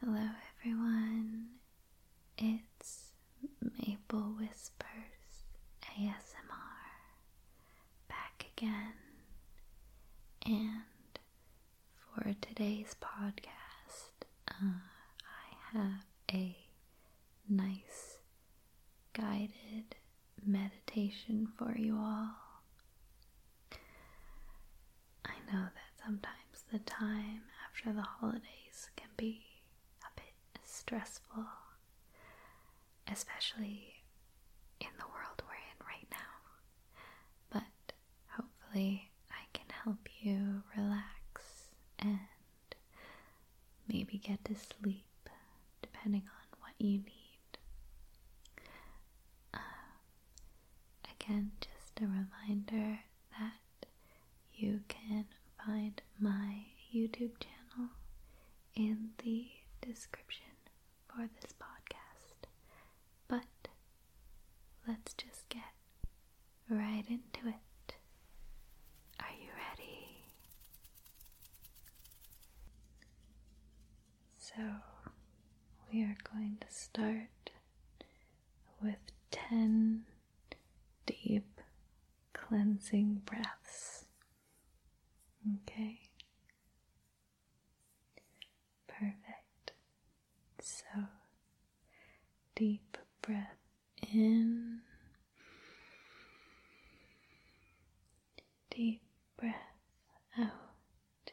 Hello, everyone. It's Maple Whispers ASMR back again. And for today's podcast, uh, I have a nice guided meditation for you all. I know that sometimes the time after the holidays can be a bit stressful, especially in the world we're in right now. But hopefully, I can help you relax and maybe get to sleep depending on what you need. Um, Again, just a reminder that you can find my YouTube channel in the description for this podcast. But let's just get right into it. Are you ready? So, we are going to start with 10 deep cleansing breaths. Okay? Perfect. So, deep breath in, deep breath out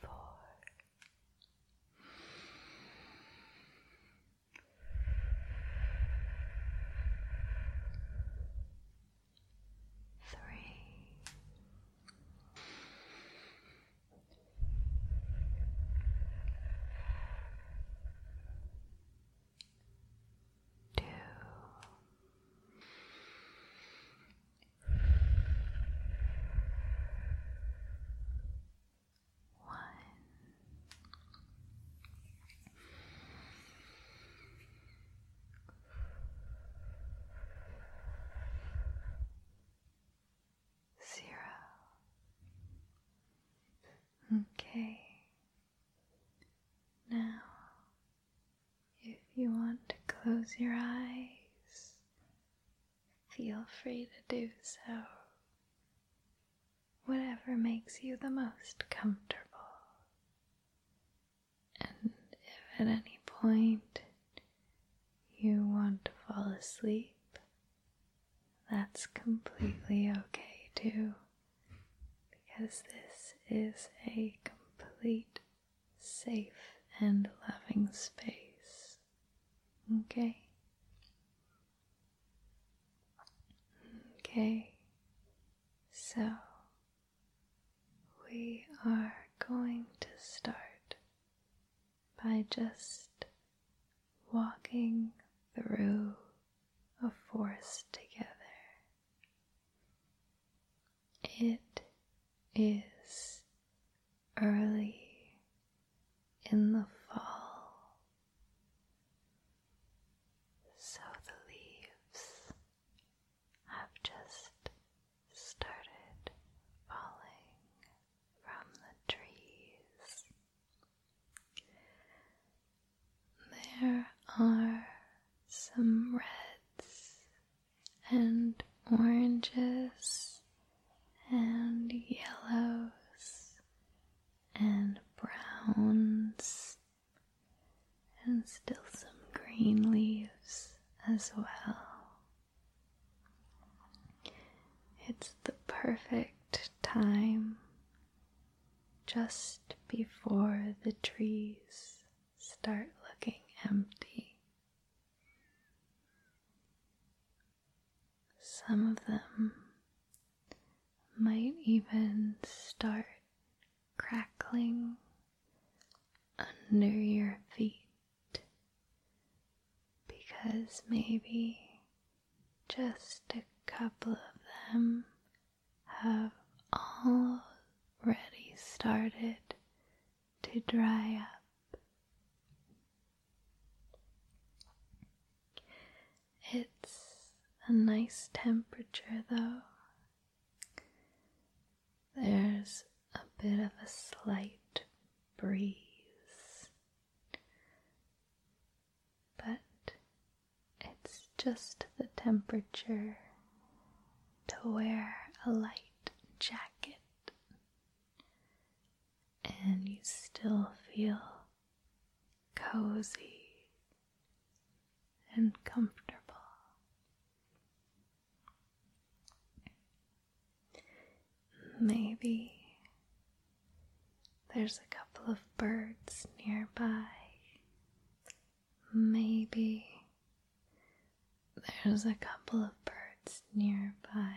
four, three. Two, two, Okay, now, if you want to close your eyes, feel free to do so. Whatever makes you the most comfortable. And if at any point you want to fall asleep, that's completely okay too, because this is a complete, safe, and loving space. Okay? Okay, so we are going to start by just walking through a forest together. It is early in the fall, so the leaves have just started falling from the trees. There are some reds and oranges and yellows and browns and still some green leaves as well. It's the perfect time just before the trees start looking empty. Some of them might even start crackling under your feet because maybe just a couple of them have already started to dry up. It's a nice temperature though. There's a bit of a slight breeze but it's just the temperature to wear a light jacket, and you still feel cozy and comfortable. Maybe there's a couple of birds nearby. Maybe there's a couple of birds nearby.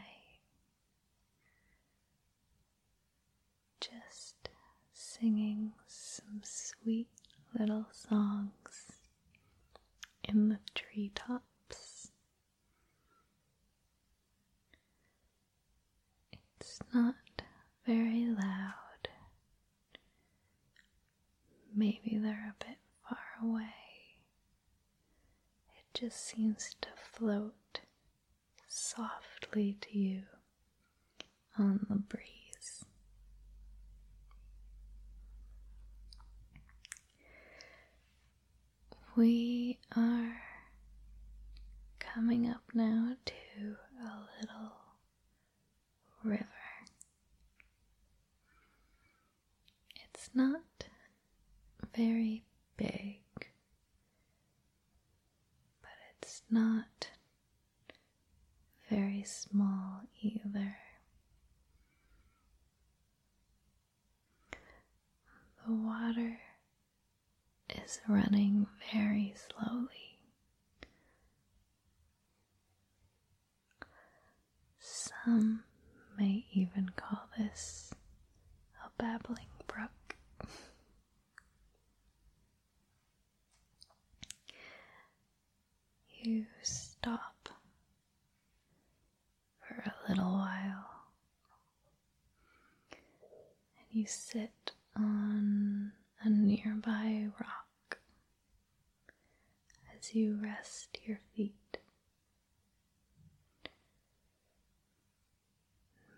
Just singing some sweet little songs in the treetops. It's not very loud. Maybe they're a bit far away. It just seems to float softly to you on the breeze. We are coming up now to a little river. It's not very big, but it's not very small either. The water is running very slowly. Some may even call this a babbling brook. you stop for a little while and you sit on a nearby rock as you rest your feet.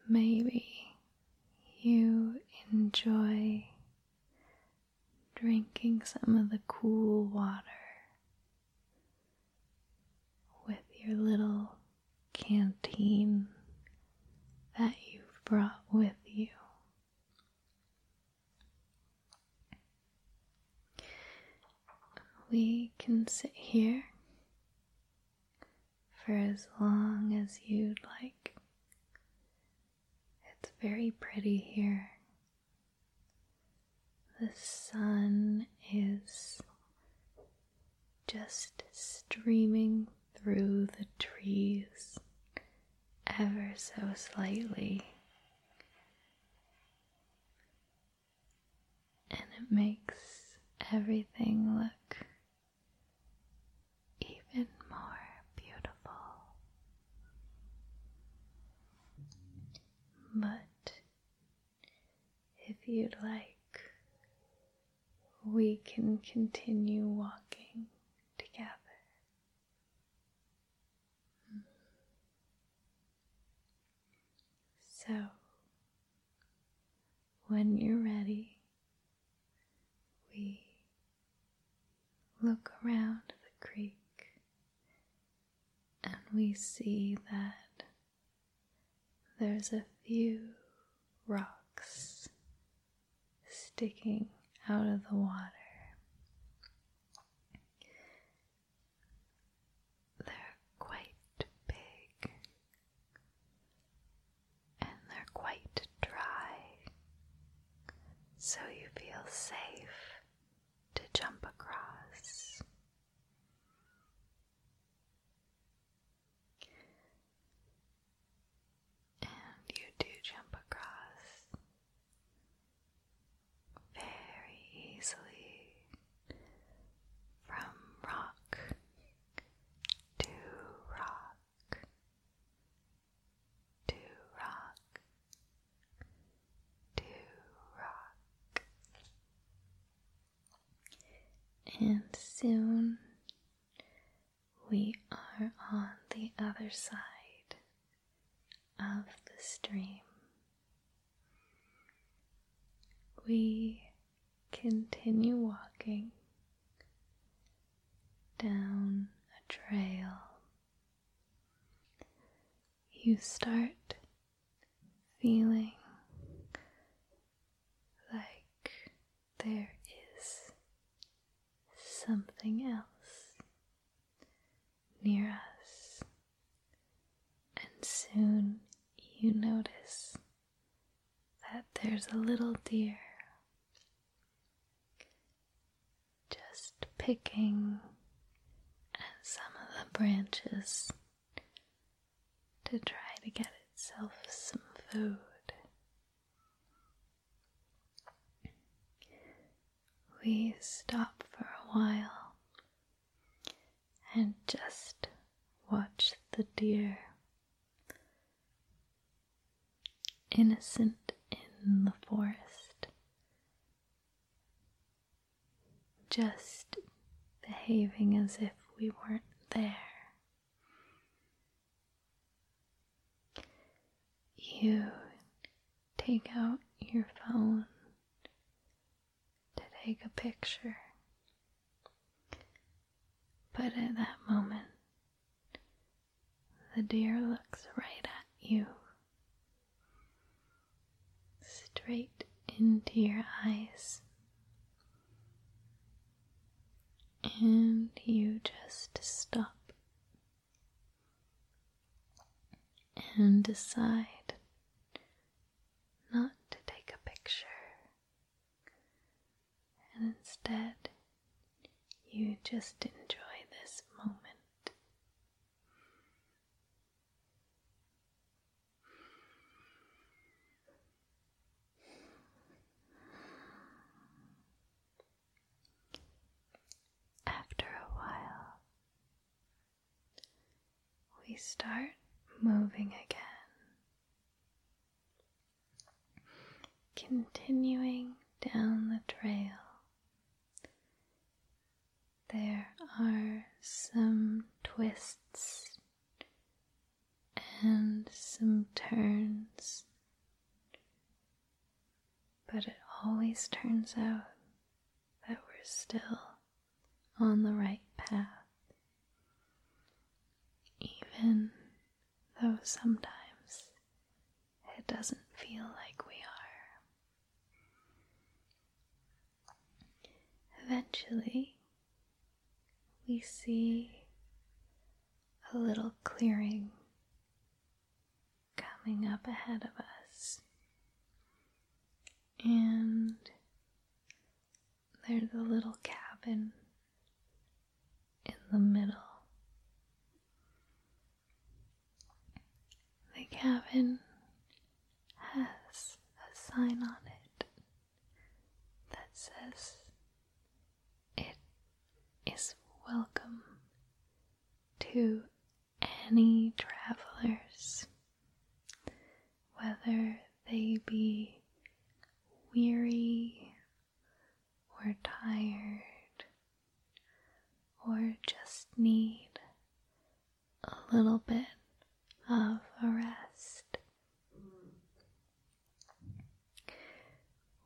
Maybe you enjoy drinking some of the cool water with your little canteen that you've brought with you. We can sit here for as long as you'd like. It's very pretty here. The sun is just streaming through the trees ever so slightly. And it makes everything look even more beautiful. But if you'd like, we can continue walking together. So, when you're ready, we look around the creek and we see that there's a few rocks sticking out of the water. They're quite big and they're quite dry, so you feel safe to jump across. And you do jump across very easily from rock to rock to rock to rock. And soon we are on the other side of the stream. We continue walking down a trail. You start feeling like there is something else near us, and soon you notice that there's a little deer just picking at some of the branches to try to get itself some food. We stop for a while and just watch the deer, innocent in the forest, just behaving as if we weren't there. You take out your phone to take a picture, but at that moment, the deer looks right at you, straight into your eyes and you just stop and decide not to take a picture, and instead you just enjoy this moment. After a while, we start moving again, continuing down the trail. There are some twists and some turns, but it always turns out that we're still on the right path, even though sometimes it doesn't feel like we are. Eventually, we see a little clearing coming up ahead of us. And there's a little cabin in the middle. The cabin has a sign on it that says it is welcome to any travelers, whether they be weary or tired or just need a little bit of a rest.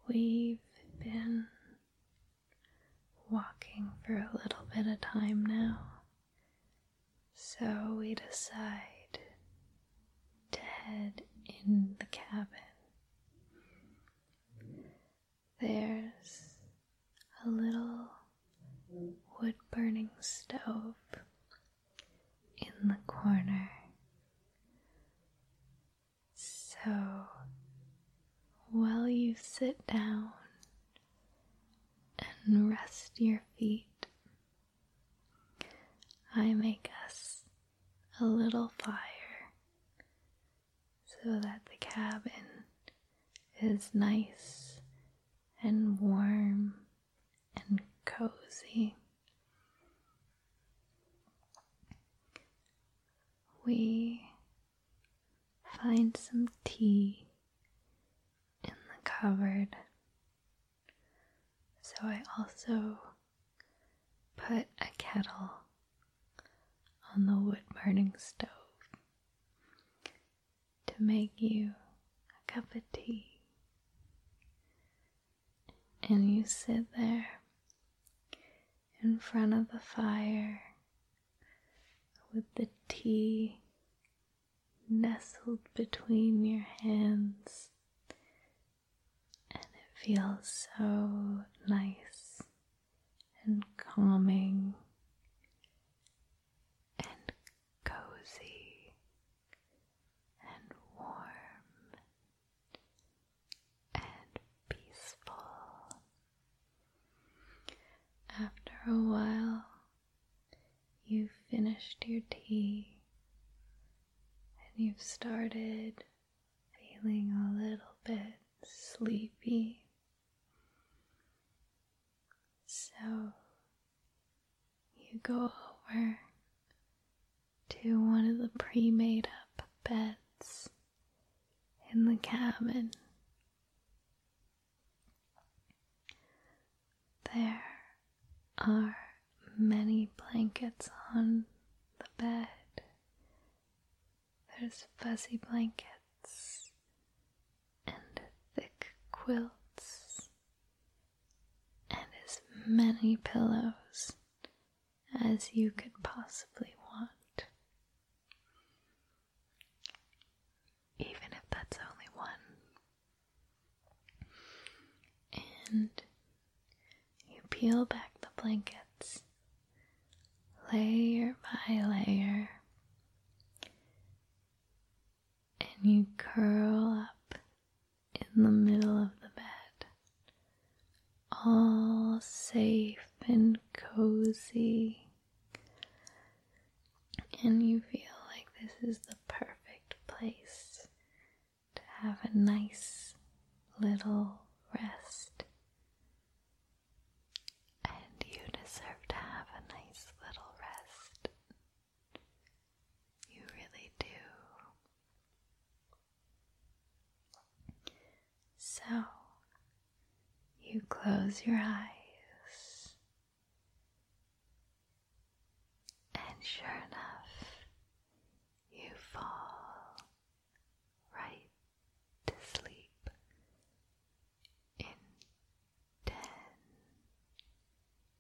We've been walking for a little bit of time now, so we decide to head in the cabin. There's a little wood burning stove in the corner. So while you sit down and rest your feet, I make us a little fire so that the cabin is nice and warm and cozy. We find some tea in the cupboard. So I also put a kettle on the wood burning stove to make you a cup of tea. And you sit there in front of the fire with the tea nestled between your hands, and it feels so nice and calming and cozy and warm and peaceful. After a while, you've finished your tea and you've started feeling a little bit sleepy. So you go over to one of the pre made up beds in the cabin. There are many blankets on the bed. There's fuzzy blankets and thick quilts and as many pillows as you could possibly want. Even if that's only one. And you peel back the blankets layer by layer and you curl up in the middle of the bed, all safe and cozy. And you feel like this is the perfect place to have a nice little rest. And you deserve to have a nice little rest you really do. So, you close your eyes, and sure enough, you fall right to sleep in ten,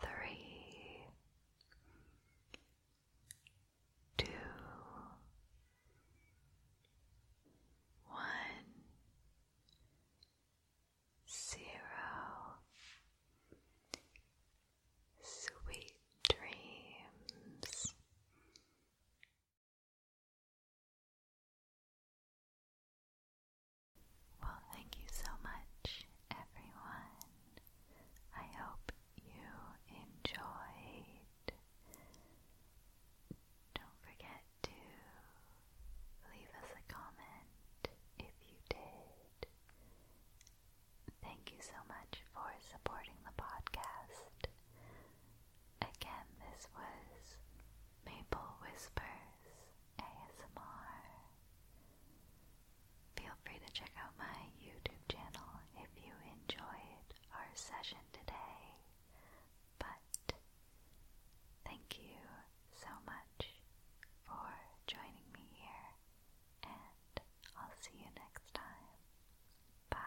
three, two, one, zero. Sweet dreams. Well, thank you so much, everyone. I hope you enjoyed. Don't forget to leave us a comment if you did. Thank you so much for supporting the podcast. Again, this was Maple Whispers ASMR. Feel free to check out my YouTube channel if you enjoyed our session today. But thank you so much for joining me here, and I'll see you next time. Bye.